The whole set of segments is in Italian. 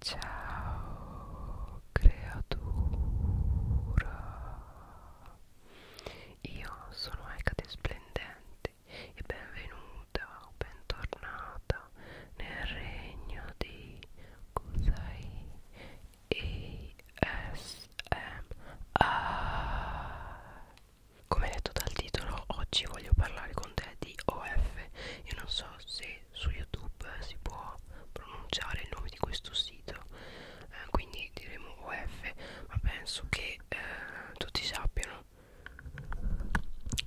Ciao creatura, io sono Ecate Splendente e benvenuta o bentornata nel regno di Kusai ASMR. Come detto dal titolo, oggi voglio parlare con te di OF. Io non so se se su youtube si può pronunciare il nome di questo sito eh, quindi diremo OF ma penso che eh, tutti sappiano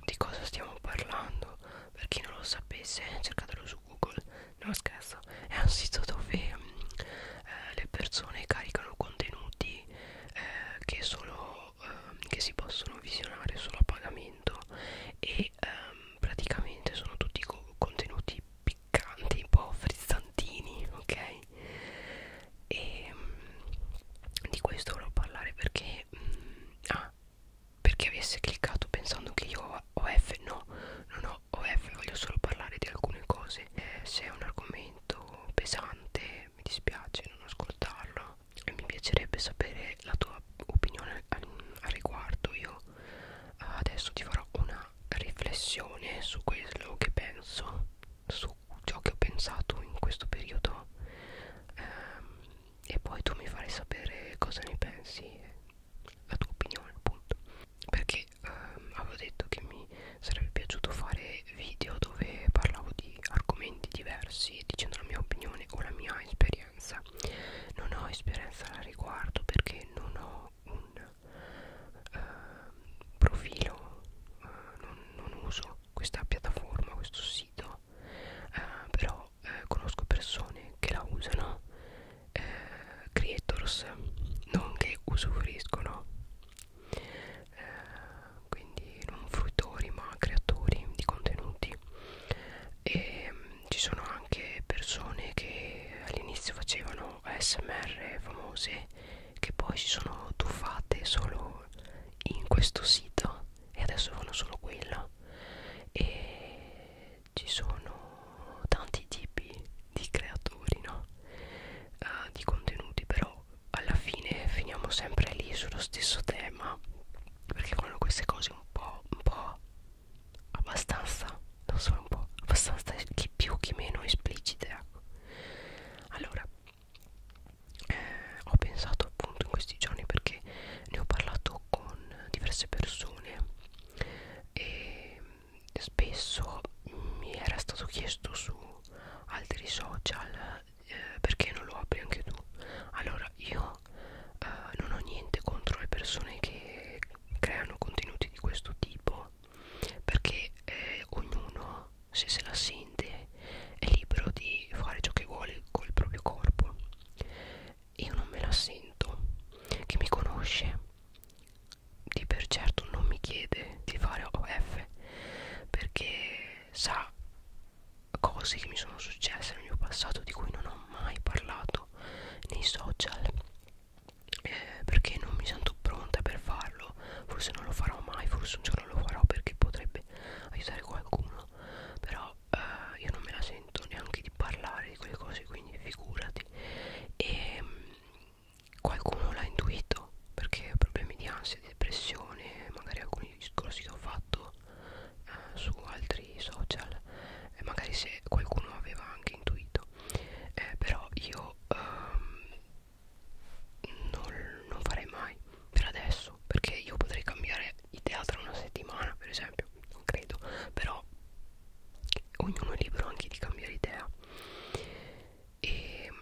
di cosa stiamo parlando per chi non lo sapesse cercatelo su google non scherzo è un sito dove mh, mm, eh, le persone caricano contenuti eh, che solo ehm, che si possono visionare solo a pagamento e ehm, praticamente sono tutti co contenuti piccanti, un po' frizzantini, ok? E ehm, mh, di questo volevo parlare perché mh, mm, ah, perché avesse cliccato pensando che io ho OF, no, non ho OF, voglio solo parlare di alcune cose. Eh, se è un argomento pesante, mi dispiace non ascoltarlo, e mi piacerebbe sapere la tua opinione al, al riguardo io eh, adesso ti farò una riflessione su quello che penso su ciò che ho pensato in questo periodo ehm, e poi tu mi farai sapere cosa ne pensi la tua opinione appunto perché ehm, avevo detto che mi sarebbe piaciuto fare video dove parlavo di di argomenti diversi dicendo la mia opinione o la mia esperienza non ho esperienza al riguardo perché non ho un uh, profilo uh, non, non uso questa piattaforma questo sito uh, però uh, conosco persone che la usano uh, creators non che usufruiscono uh, quindi non fruitori ma creatori di contenuti e mm, ci sono anche persone che all'inizio facevano ASMR famose che poi si sono tuffate solo in questo sito e adesso fanno solo quello e ci sono tanti tipi di creatori no? uh, di contenuti però alla fine finiamo sempre lì sullo stesso tema perché vanno queste cose un po' un po' abbastanza non so un po' abbastanza chi più chi meno esplicite ecco allora eh, ho pensato appunto in questi giorni perché ne ho parlato con diverse persone e spesso mi era stato chiesto su altri social eh, perché non lo apri anche tu? Allora io eh, non ho niente contro le persone che creano contenuti di questo tipo perché eh, ognuno se se la sente è libero di fare ciò che vuole col proprio corpo io non me la sento chi mi conosce di per certo non mi chiede di fare OF perché sa cose che mi sono successe nel mio passato di cui non ho mai parlato nei social eh, perché non mi sento pronta per farlo forse non lo farò mai forse un giorno lo farò perché potrebbe aiutare qualcuno però eh, io non me la sento neanche di parlare di quelle cose quindi figurati e ehm, mh, qualcuno l'ha intuito perché problemi di ansia ansia, di depressione, magari alcuni discorsi che ho fatto eh, su altri social, eh, magari se qualcuno aveva anche intuito, eh, però io ehm, non, non farei mai per adesso, perché io potrei cambiare idea tra una settimana, per esempio, non credo, però ognuno è libero anche di cambiare idea. E ehm,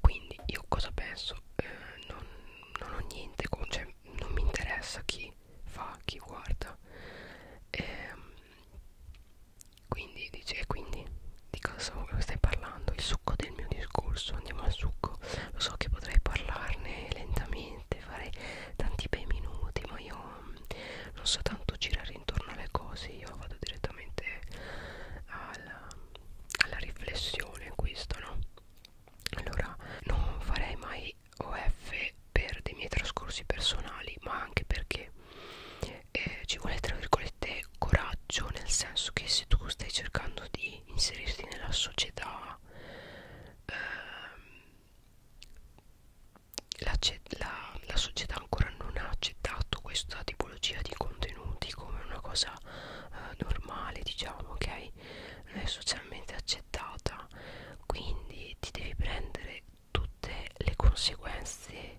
quindi io cosa penso eh, non, non ho niente con, cioè, non mi interessa chi fa chi guarda eh, quindi dice e quindi di cosa stai parlando il succo del mio discorso andiamo al succo lo so che potrei parlarne lentamente fare tanti bei minuti ma io mm, non so tanto girare intorno alle cose io vado direttamente alla alla riflessione questo no allora non farei mai OF per dei miei trascorsi personali ma anche perché eh, ci vuole tra virgolette coraggio nel senso che se tu stai cercando di inserirti nella società ehm, la, la, la società ancora non ha accettato questa tipo tipologia di contenuti come una cosa eh, normale diciamo ok non è socialmente accettata quindi ti devi prendere tutte le conseguenze eh,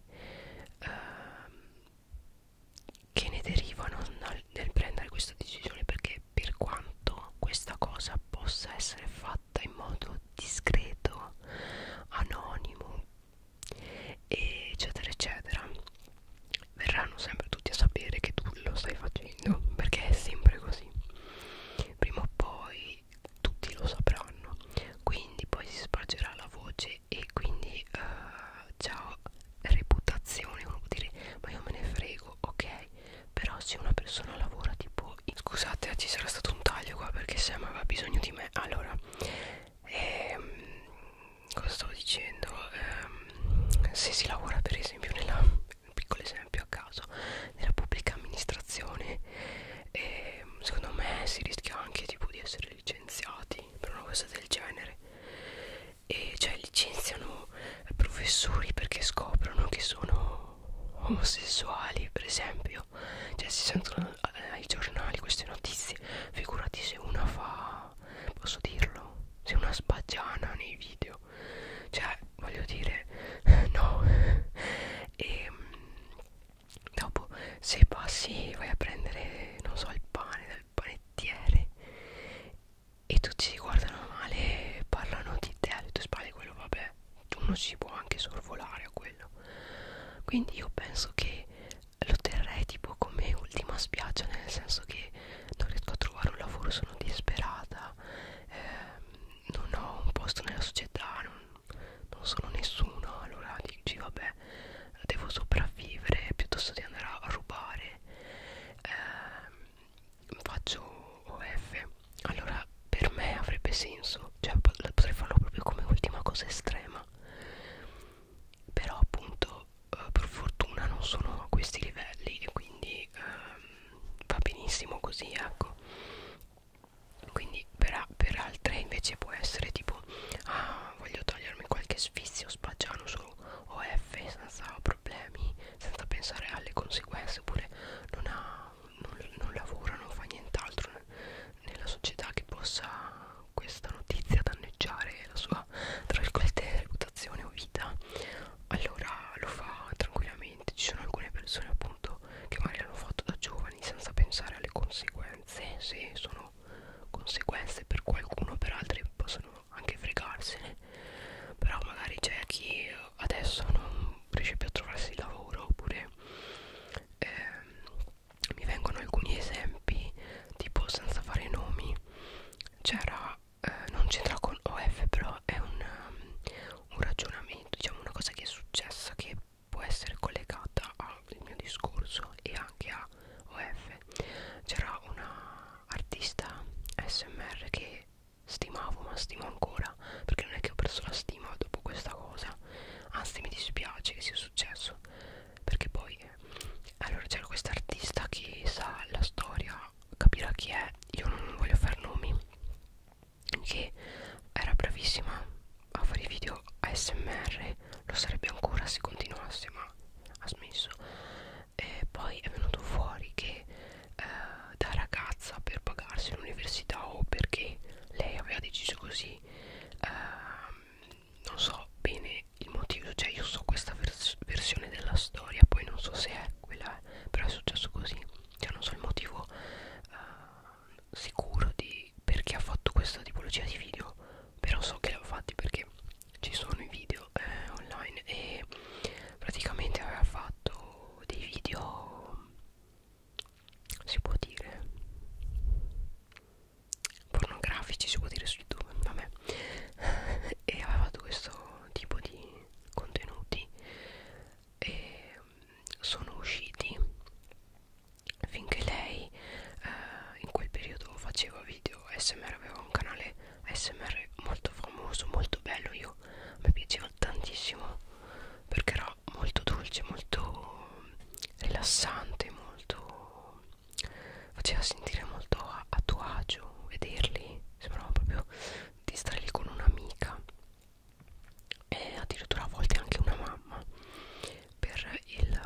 che ne derivano nel, nel prendere questa decisione perché per quanto questa cosa possa essere fatta in modo discreto anonimo eccetera eccetera verranno sempre tutti a sapere che tu lo stai facendo perché è sempre così prima o poi tutti lo sapranno quindi poi si spargerà la voce e quindi uh, ciao reputazione uno può dire ma io me ne frego ok però se una persona lavora tipo scusate eh, ci sarà stato un taglio qua perché Sam aveva bisogno di me allora e, ehm, cosa stavo dicendo ehm, se si lavora per esempio nella un piccolo esempio a caso nella pubblica amministrazione ehm, secondo me si rischia anche tipo di essere licenziati per una cosa del genere e cioè licenziano professori perché scoprono che sono omosessuali per esempio cioè si sentono eh, ai giornali queste notizie figurati se una fa posso dirlo se una sbagiana nei video cioè voglio dire no e ehm, dopo se passi vai a prendere non so il pane dal panettiere e tutti si guardano male parlano di te alle tue spalle quello vabbè uno si può anche sorvolare a quello quindi io penso che lo terrei tipo come ultima spiaggia nel senso che non riesco a trovare un lavoro sono disperata eh, non ho un posto nella società non, non sono nessuno allora dici vabbè devo sopravvivere piuttosto di andare a rubare eh, faccio OF allora per me avrebbe senso cioè potrei farlo proprio come ultima cosa estrema però appunto eh, per fortuna non sono a questi livelli e quindi ehm, va benissimo così ecco quindi per, per altre invece può essere tipo ah voglio togliermi qualche sfizio spaggiano su OF senza problemi senza pensare alle conseguenze oppure non ha non, non lavora non fa nient'altro nella società che possa questa notizia danneggiare la sua tra virgolette reputazione o vita allora lo fa tranquillamente ci sono alcune persone appunto che magari l'hanno fatto da giovani senza pensare alle conseguenze se sono conseguenze per qualcuno per altri possono anche fregarsene però magari c'è chi adesso non riesce più a trovarsi il lavoro oppure ehm, mi vengono alcuni esempi tipo senza fare nomi c'era eh, non c'entra con OF però è un, um, un ragionamento diciamo una cosa che è successa che può essere collegata al mio discorso e anche a OF c'era una artista SMR che stimavo ma stimo ancora perché non è che ho perso la stima dopo questa cosa anzi mi dispiace che sia successo perché poi allora c'era quest'artista che sa la storia capirà chi è io non voglio fare nomi che era bravissima a fare i video ASMR lo sarebbe ancora se continuasse ma ha smesso e poi è venuto fuori che eh, da ragazza per pagarsi l'università o perché lei aveva deciso così ehm, non so bene il motivo cioè io so questa vers versione della storia poi non so se è quella però è successo così cioè non so il motivo eh, sicuro di perché ha fatto questa tipologia di video però so che l'ha fatti perché ci sono i video eh, online e praticamente aveva fatto dei video si può dire pornografici si può dire su youtube vabbè e aveva questo tipo di contenuti e mm, sono usciti finché lei eh, in quel periodo faceva video smr aveva un canale smr molto famoso molto bello io mi piaceva tantissimo perché era molto dolce, molto rilassante, molto faceva sentire molto a, a tuo agio vederli, sembrava proprio di stare lì con un'amica e addirittura a volte anche una mamma per il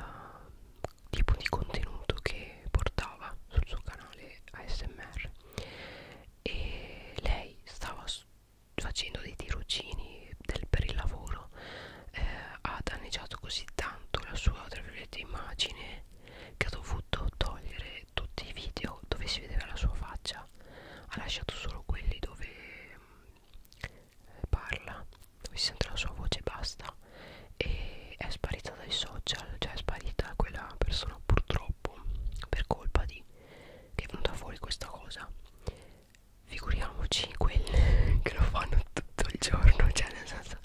tipo di contenuto che portava sul suo canale ASMR e lei stava facendo dei tirocini del, per il lavoro eh, ha danneggiato così tanto la sua tra virgolette immagine che ha dovuto togliere tutti i video dove si vedeva la sua faccia ha lasciato solo quelli dove mh, eh, parla dove si sente la sua voce e basta e è sparita dai social cioè è sparita quella persona purtroppo per colpa di che è venuta fuori questa cosa figuriamoci quelli che lo fanno tutto il giorno cioè nel senso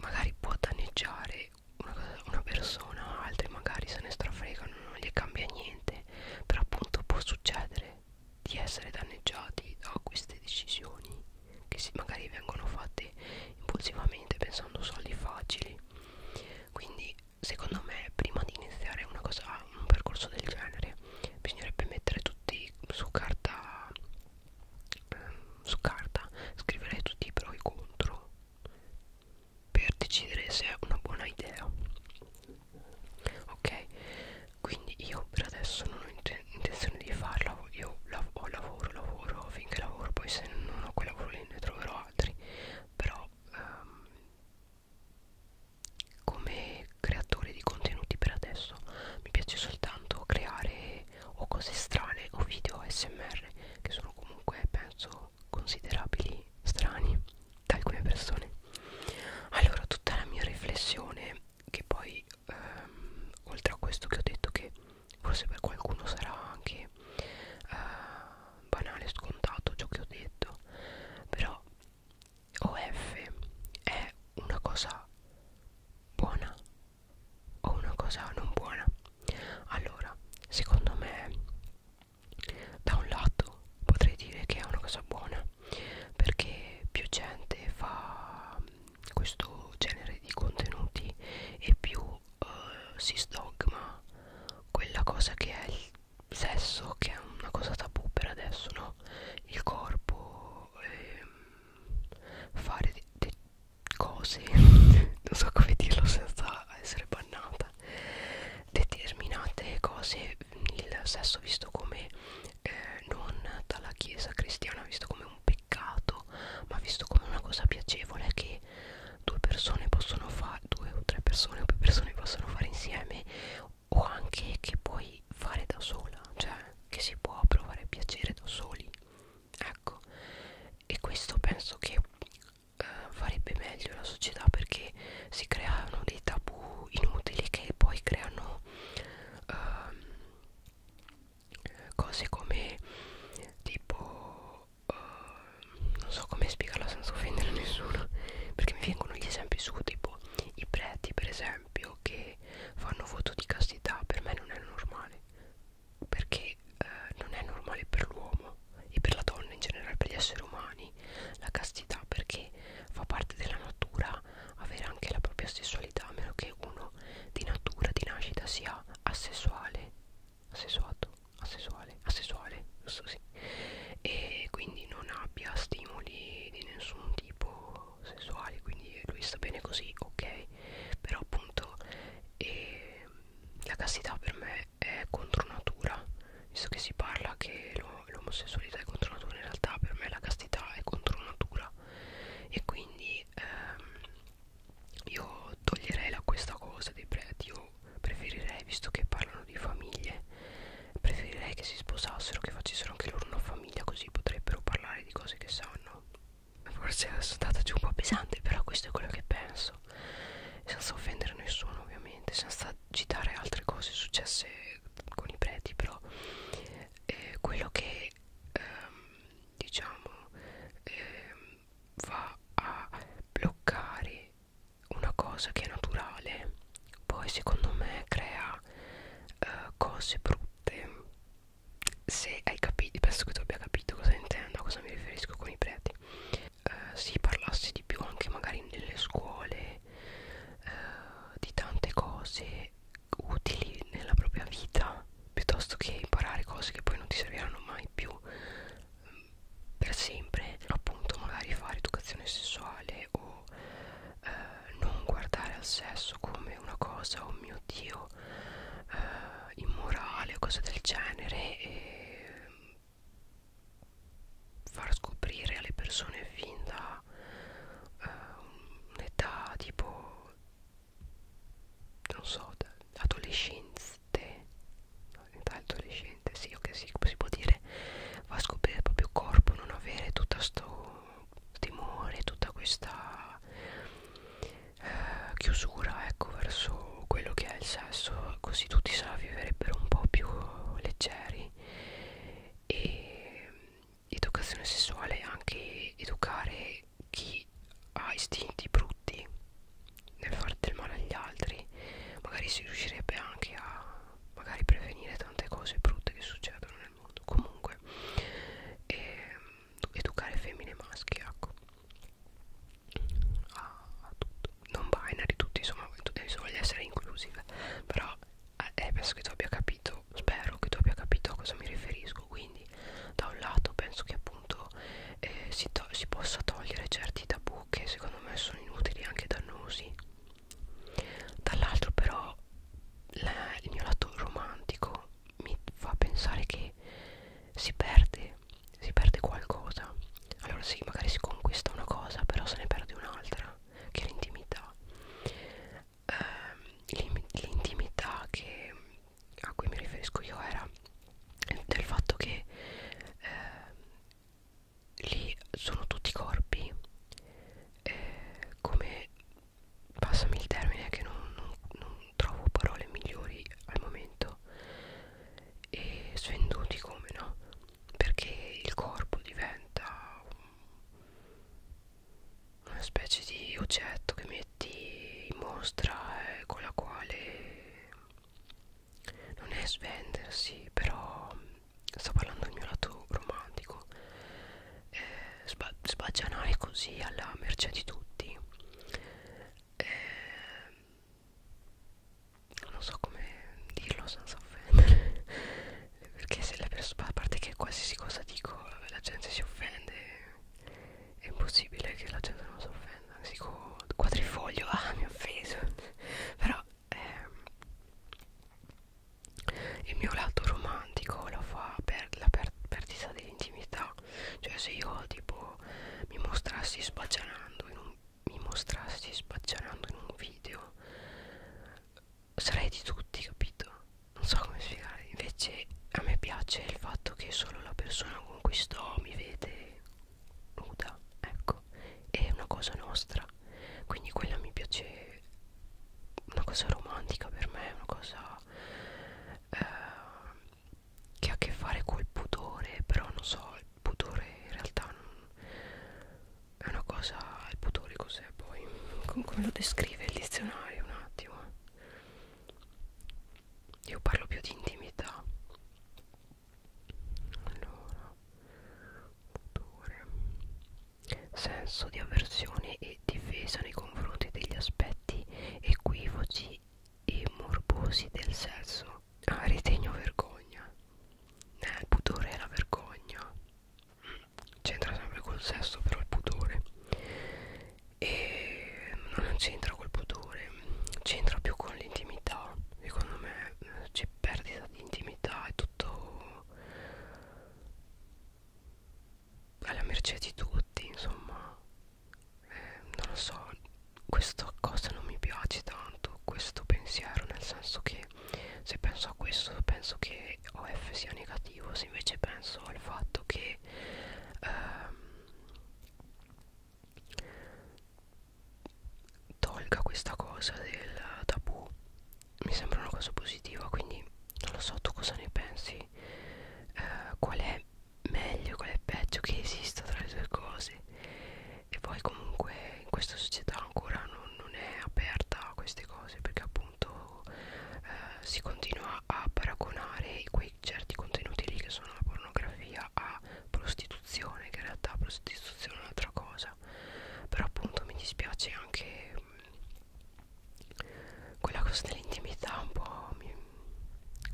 magari può danneggiare una, cosa, una persona altri magari se ne strafregano non gli cambia niente però appunto può succedere di essere danneggiati da queste decisioni che si, magari vengono fatte impulsivamente pensando soldi facili quindi secondo me prima di iniziare una cosa, un percorso del genere bisognerebbe mettere tutti su carta ehm, su carta scrivere tutti i pro e i contro per decidere se è una buona idea ok quindi io per adesso non ho intenzione di farlo io lav ho lavoro lavoro finché lavoro poi se non ho quel lavoro lì ne troverò altri però ehm, come creatore di contenuti per adesso mi piace soltanto creare o cose strane o video ASMR che sono comunque penso considerabili strani da alcune persone allora tutta la mia riflessione che poi ehm, oltre a questo che ho detto che forse per qualcuno sarà anche eh, banale scontato ciò che ho detto però OF è una cosa buona o una cosa non buona allora secondo me da un lato potrei dire che è una cosa buona perché più gente fa questo genere di contenuti e più uh, si stogma quella cosa che è il sesso che è una cosa tabù per adesso no il corpo ehm, fare de de cose non so come dirlo senza essere bannata determinate cose il sesso visto come eh, non dalla chiesa cristiana visto come un peccato ma visto come una cosa piacevole che due persone possono fare due o tre persone o più persone possono fare insieme o anche che puoi fare da sola cioè che si può provare piacere da soli ecco e questo penso che eh, farebbe meglio la società perché si creano dei tabù inutili che poi creano eh, cose come tipo uh, non so come spiegarla senza offendere nessuno perché mi vengono gli esempi su tipo i preti per esempio che fanno voto di castità per me non è normale perché uh, non è normale per l'uomo e per la donna in generale per gli esseri umani la castità perché fa parte della natura avere anche la propria sessualità a meno che uno di natura di nascita sia asessuale assessuato, assessuale, assessuale, giusto sì e quindi non abbia stimoli di nessun tipo sessuali quindi lui sta bene così ok però appunto eh, la castità per me è contro natura visto che si parla che l'omosessualità è contro natura in realtà per me la castità è contro natura e quindi ehm, io toglierei la, questa cosa dei preti io preferirei visto che parlano di famiglie preferirei che si sposassero che facessero anche loro una famiglia così potrebbero parlare di cose che sanno forse sono stata giù un po' pesante però questo è quello che penso senza offendere nessuno ovviamente senza citare altre cose successe con i preti però eh, quello che ehm, diciamo ehm, va a bloccare una cosa che è naturale poi secondo me crea uh, cose brutte se hai capito penso che tu abbia capito cosa intendo a cosa mi riferisco con i preti uh, si parlasse di più anche magari nelle scuole uh, di tante cose utili nella propria vita piuttosto che imparare cose che poi non ti serviranno mai più per sempre appunto magari fare educazione sessuale o eh, non guardare al sesso come una cosa oh mio dio eh, immorale o cose del genere e far scoprire alle persone fin da eh, un'età tipo non so da adolescente no, in età adolescente sì, ok, sì, si può dire va a scoprire il proprio corpo non avere tutto questo timore tutta questa eh, chiusura ecco verso quello che è il sesso così tutti se la viverebbero un po' più leggeri e educazione sessuale anche educare chi ha istinti brutti nel fare del male agli altri magari si riuscirebbe anche a magari prevenire tante cose brutte che succedono nel mondo comunque eh, educare femmine e maschi ecco a, a tutto non binary tutti insomma tutti voglio essere inclusive però eh, eh, penso che tu abbia capito spero che tu abbia capito a cosa mi riferisco quindi quindi da un lato penso che appunto eh, si, si possa togliere certi tabù che secondo me sono inutili e anche dannosi dall'altro però la, il mio lato romantico mi fa pensare che si perde si perde qualcosa allora sì magari si conquista una cosa però se ne perde un'altra che è l'intimità eh, l'intimità che a cui mi riferisco io era del fatto che eh, lì sono tutti corpi eh, come passami il termine che non, non, non trovo parole migliori al momento e svenduti come no perché il corpo diventa una specie di oggetto che mi oggetti in mostra eh, con la quale non è svendersi però mm, sto parlando del mio lato romantico eh, sba sbaggianare così alla merce di tutti eh, non so come dirlo senza offendere perché se le persone a parte che qualsiasi cosa dico la gente si offende è impossibile che la gente non si offenda. Sico quadrifoglio, ah, mi ha offeso. Però ehm, il mio lato romantico lo fa per la per perdita dell'intimità. Cioè, se io tipo mi mostrassi spaccianando in un mi mostrassi spaccianando in un video sarei di tutti capito non so come spiegare invece a me piace il fatto che solo la persona con cui sto mi vede nuda, ecco, è una cosa nostra, quindi quella mi piace, una cosa romantica per me, una cosa eh, che ha a che fare col pudore, però non so, il pudore in realtà non, è una cosa, il pudore cos'è poi, come lo descrive il dizionario un attimo io parlo più di intimità allora odore senso di avversione e difesa nei confronti degli aspetti equivoci e morbosi del sesso ah ritegno vergogna eh, il pudore è la vergogna c'entra sempre col sesso però il pudore e non c'entra col pudore c'entra più con l'intimità secondo me eh, c'è perdita di intimità è tutto alla mercé di tutti insomma eh, non lo so questa cosa non mi piace tanto questo pensiero nel senso che se penso a questo penso che OF sia negativo se invece penso al fatto che ehm, tolga questa cosa del tabù mi sembra una cosa positiva quindi non lo so tu cosa ne pensi eh, qual è meglio qual è peggio che esista tra le due cose e poi comunque in questa società ancora non, non è aperta a queste cose perché appunto appunto eh, si continua a paragonare quei certi contenuti lì che sono la pornografia a prostituzione che in realtà prostituzione è un'altra cosa però appunto mi dispiace anche mh, mm, quella cosa dell'intimità un po' mi,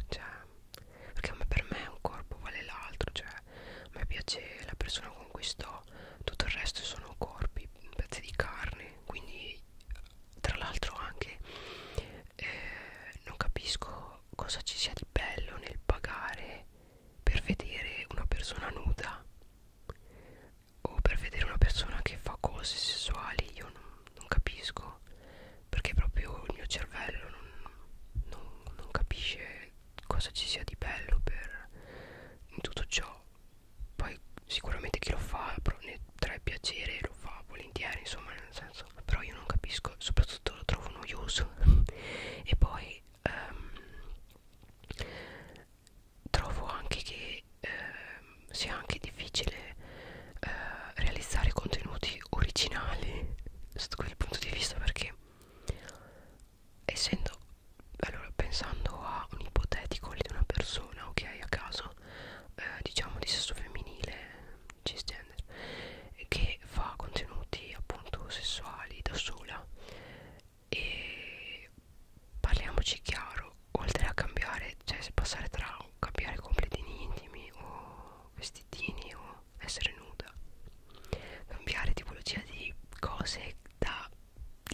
cioè perché per me un corpo vale l'altro cioè a me piace la persona con cui sto tutto il resto sono corpi pezzi di carne quindi tra l'altro anche eh, non capisco cosa ci sia di bello nel pagare per vedere una persona nuda o per vedere una persona che fa cose sessuali io non, non capisco perché proprio il mio cervello non, non, non capisce cosa ci sia di bello per in tutto ciò poi sicuramente chi lo fa ne trae piacere lo fa volentieri insomma nel senso però io non capisco soprattutto lo trovo noioso e poi ehm, trovo anche che ehm, sia anche difficile eh, realizzare contenuti originali sotto quel punto di vista perché essendo allora pensando a un ipotetico di una persona ok a caso eh, diciamo di sesso femminile cisgender che fa contenuti appunto sessuali da sola e parliamoci chiaro oltre a cambiare cioè se passare tra cambiare completini intimi o vestitini o essere nuda cambiare tipologia di cose da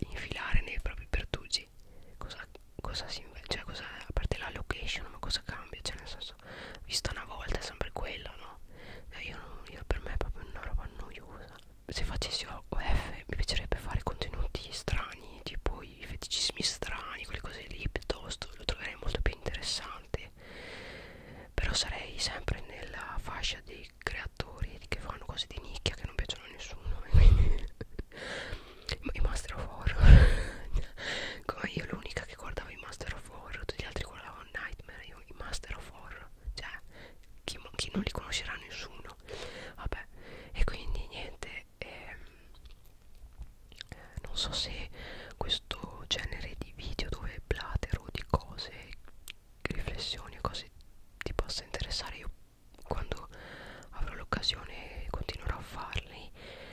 infilare nei propri pertugi cosa, cosa si invece cioè cosa, a parte la location ma cosa cambia cioè nel senso vista una volta è sempre quella no cioè, io, non, io per me è proprio una roba noiosa se facessi OF mi piacerebbe fare contenuti strani tipo i feticismi strani quelle cose lì piuttosto lo troverei molto più interessante però sarei sempre nella fascia dei creatori che fanno cose di nicchia che non piacciono a nessuno i Master of Horror come io l'unica che guardava i Master of Horror tutti gli altri guardavano Nightmare io i Master of Horror cioè chi, chi non li conoscerà nessuno vabbè e quindi niente ehm, non so se questo genere di video dove platero di cose riflessioni e cose ti possa interessare io quando avrò l'occasione continuerò a farli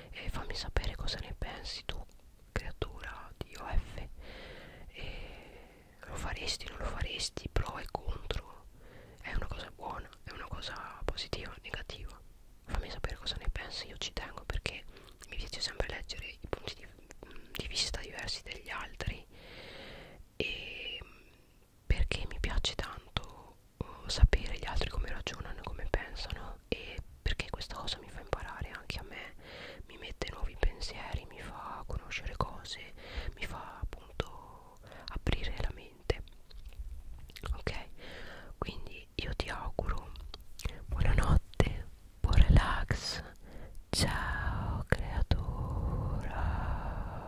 e fammi sapere cosa ne pensi tu creatura di OF e lo faresti, non lo faresti, pro e contro è una cosa buona, è una cosa positiva, negativa fammi sapere cosa ne pensi, io ci tengo perché mi piace sempre leggere i punti di, di vista diversi degli altri e perché mi piace tanto uh, sapere gli altri come ragionano, come pensano e perché questa cosa mi fa imparare anche a me, mi mette nuovi pensieri, mi fa conoscere cose, mi fa appunto aprire la mente. Ok? Quindi io ti auguro buonanotte, buon relax. Ciao creatura.